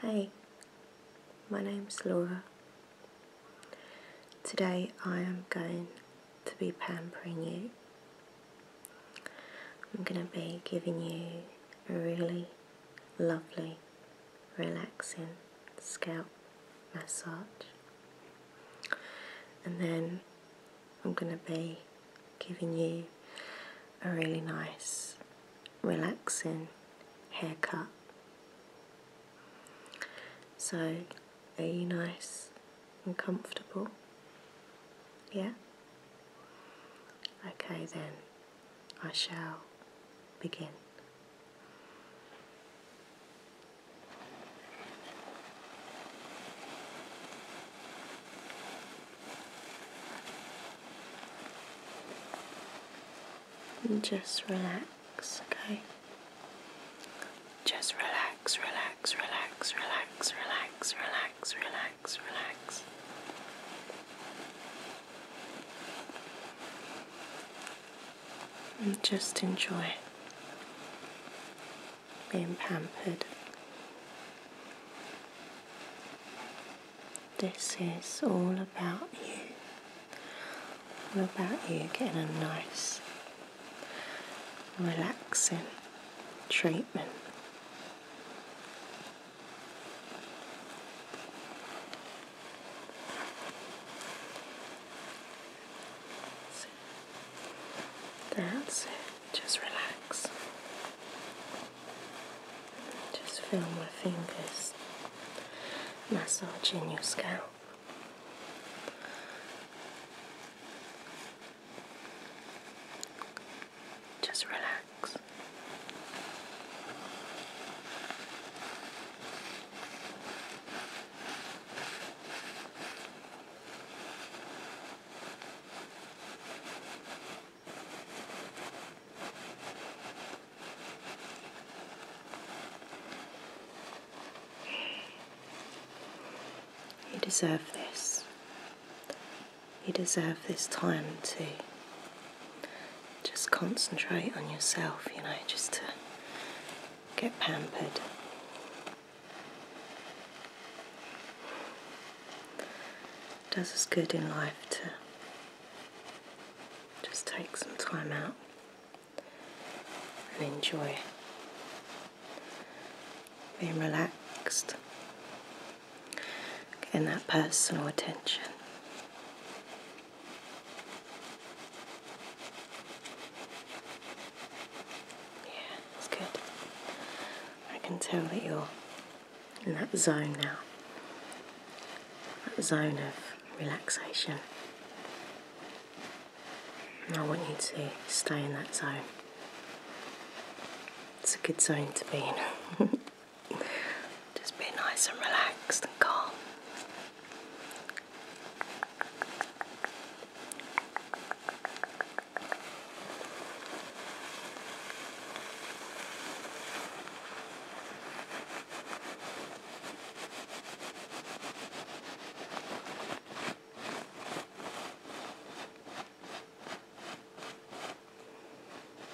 Hey, my is Laura. Today I am going to be pampering you. I'm going to be giving you a really lovely relaxing scalp massage. And then I'm going to be giving you a really nice, relaxing haircut. So, are you nice and comfortable? Yeah? Okay then, I shall begin just relax, okay? Just relax, relax, relax, relax, relax, relax, relax, relax and just enjoy being pampered. This is all about you, all about you getting a nice, relaxing treatment. That's it. Just relax. Just feel my fingers massaging your scalp. Just relax. You deserve this. You deserve this time too just concentrate on yourself, you know, just to get pampered. does us good in life to just take some time out and enjoy being relaxed, getting that personal attention. Yeah, that's good. I can tell that you're in that zone now. That zone of relaxation. I want you to stay in that zone. It's a good zone to be in. Just be nice and relaxed and calm.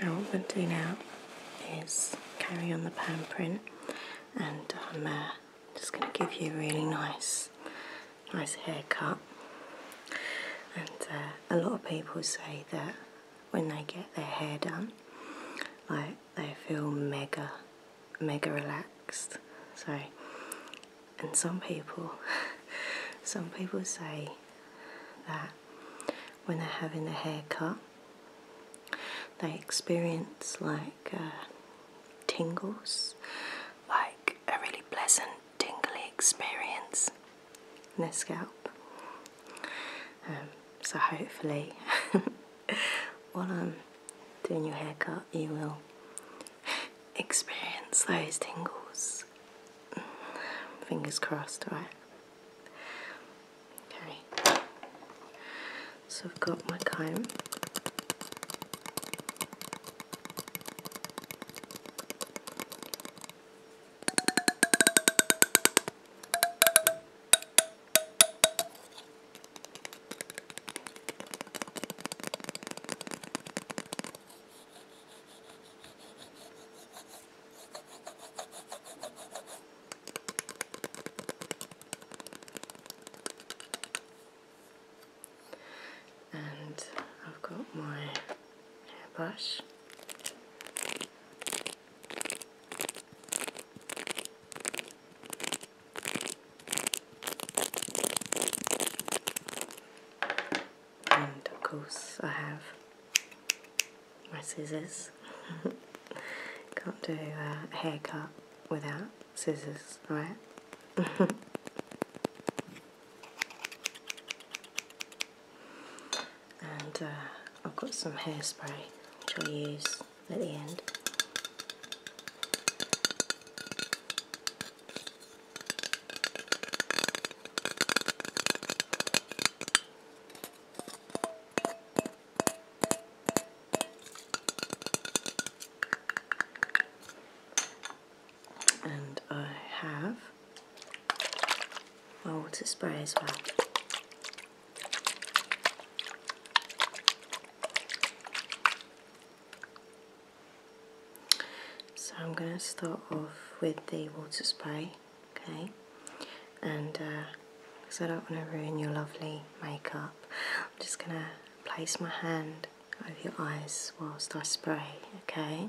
Now what we're going to do now is carry on the pan print and I'm um, uh, just going to give you a really nice, nice haircut. And uh, a lot of people say that when they get their hair done, like they feel mega, mega relaxed. So, and some people, some people say that when they're having a haircut. They experience like uh, tingles, like a really pleasant tingly experience in their scalp. Um, so hopefully, while I'm doing your haircut, you will experience those tingles. Mm, fingers crossed, alright? Okay. So I've got my comb. And I've got my hairbrush and of course I have my scissors. Can't do a haircut without scissors, right? and uh, I've got some hairspray which I'll use at the end. And I have my water spray as well. So I'm going to start off with the water spray, okay? And because uh, I don't want to ruin your lovely makeup, I'm just going to place my hand over your eyes whilst I spray, okay?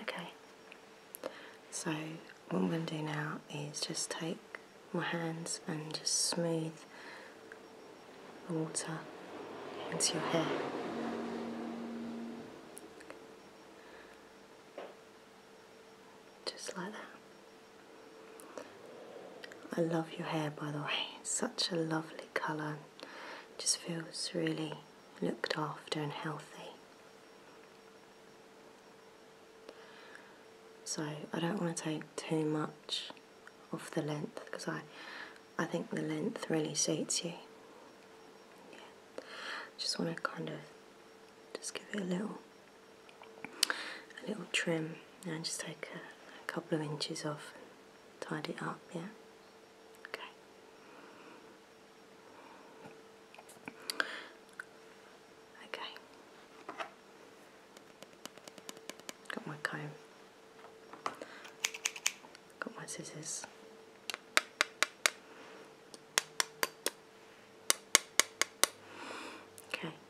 Okay, so what I'm going to do now is just take my hands and just smooth the water into your hair. Just like that. I love your hair by the way, such a lovely colour. Just feels really looked after and healthy. So I don't want to take too much off the length because I, I think the length really suits you. Yeah. Just want to kind of just give it a little a little trim and just take a, couple of inches off and tidy it up yeah okay okay got my comb got my scissors Okay,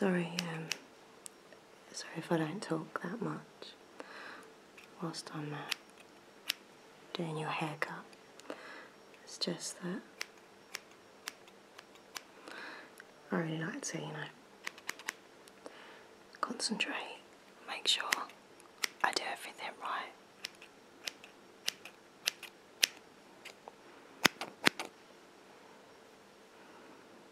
Sorry, um, Sorry if I don't talk that much whilst I'm uh, doing your haircut. It's just that I really like to, you know, concentrate, make sure I do everything right.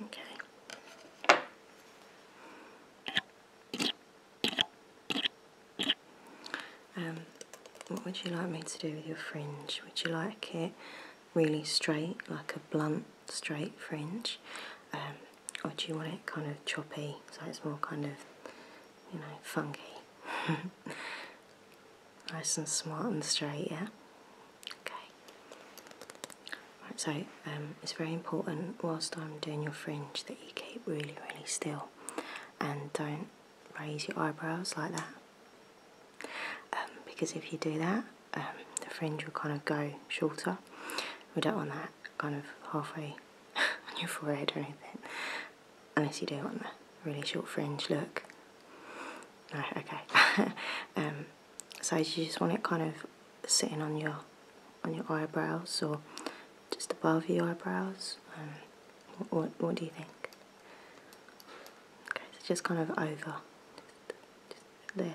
Okay. Um, what would you like me to do with your fringe? Would you like it really straight, like a blunt straight fringe? Um, or do you want it kind of choppy so it's more kind of you know funky nice and smart and straight yeah okay right so um, it's very important whilst I'm doing your fringe that you keep really really still and don't raise your eyebrows like that um, because if you do that um, the fringe will kind of go shorter. We don't want that kind of halfway on your forehead or anything, unless you do want a really short fringe look. No, okay. Um, so you just want it kind of sitting on your on your eyebrows or just above your eyebrows. Um, what, do you think? Okay, so just kind of over, just there.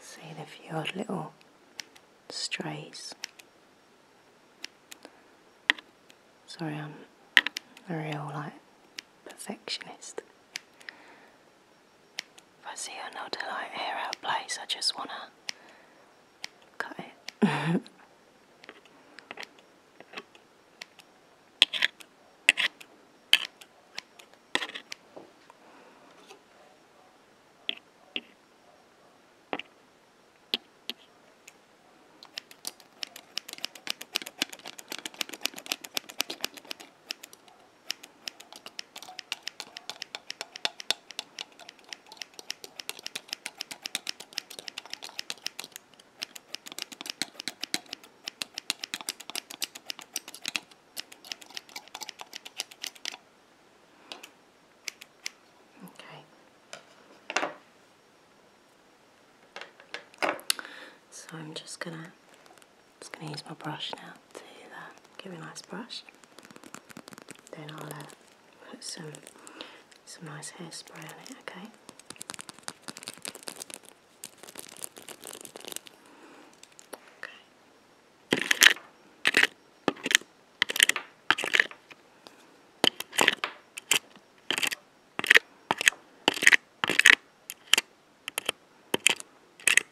See the few odd little strays. Sorry, I'm a real like perfectionist. If I see another like hair out of place, I just wanna cut it. Okay. So I'm just gonna just going to use my brush now to uh, give it a nice brush. Then I'll uh, put some some nice hairspray on it. Okay. Okay.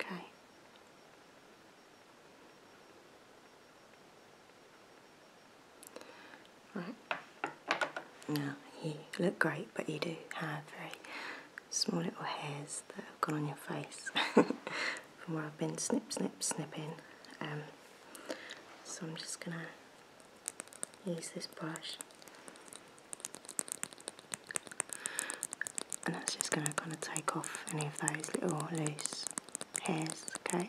Okay. Right. Now, you look great, but you do have very small little hairs that have gone on your face from where I've been snip, snip, snipping. Um, so I'm just going to use this brush and that's just going to kind of take off any of those little loose hairs, okay?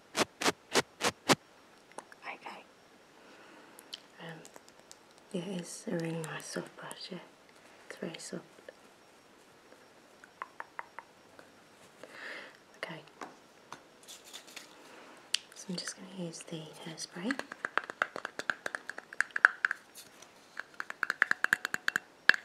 Okay. Um, yeah, it's a really nice soft brush, yeah. It's very soft. Okay. So I'm just going to use the hairspray.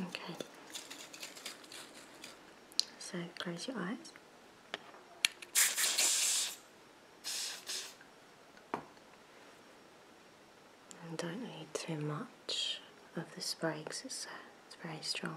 Okay. So close your eyes. don't need too much of the spray because it's, uh, it's very strong.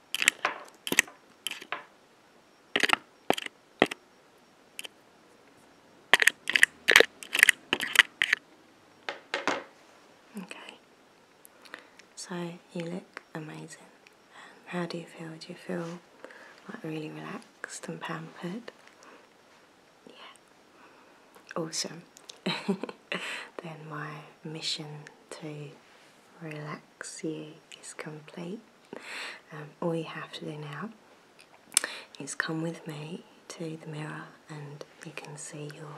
Okay, so you look amazing. How do you feel? Do you feel like really relaxed and pampered? Yeah, awesome. then my mission to relax you is complete. all you have to do now is come with me to the mirror and you can see your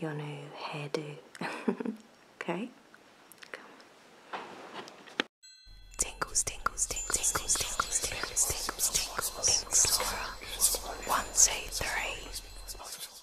your new hairdo. okay? Come. Tingles, tingles, tingles, tingles, tingles, tingles, tingles, tingles, tingles, tingles, tingles,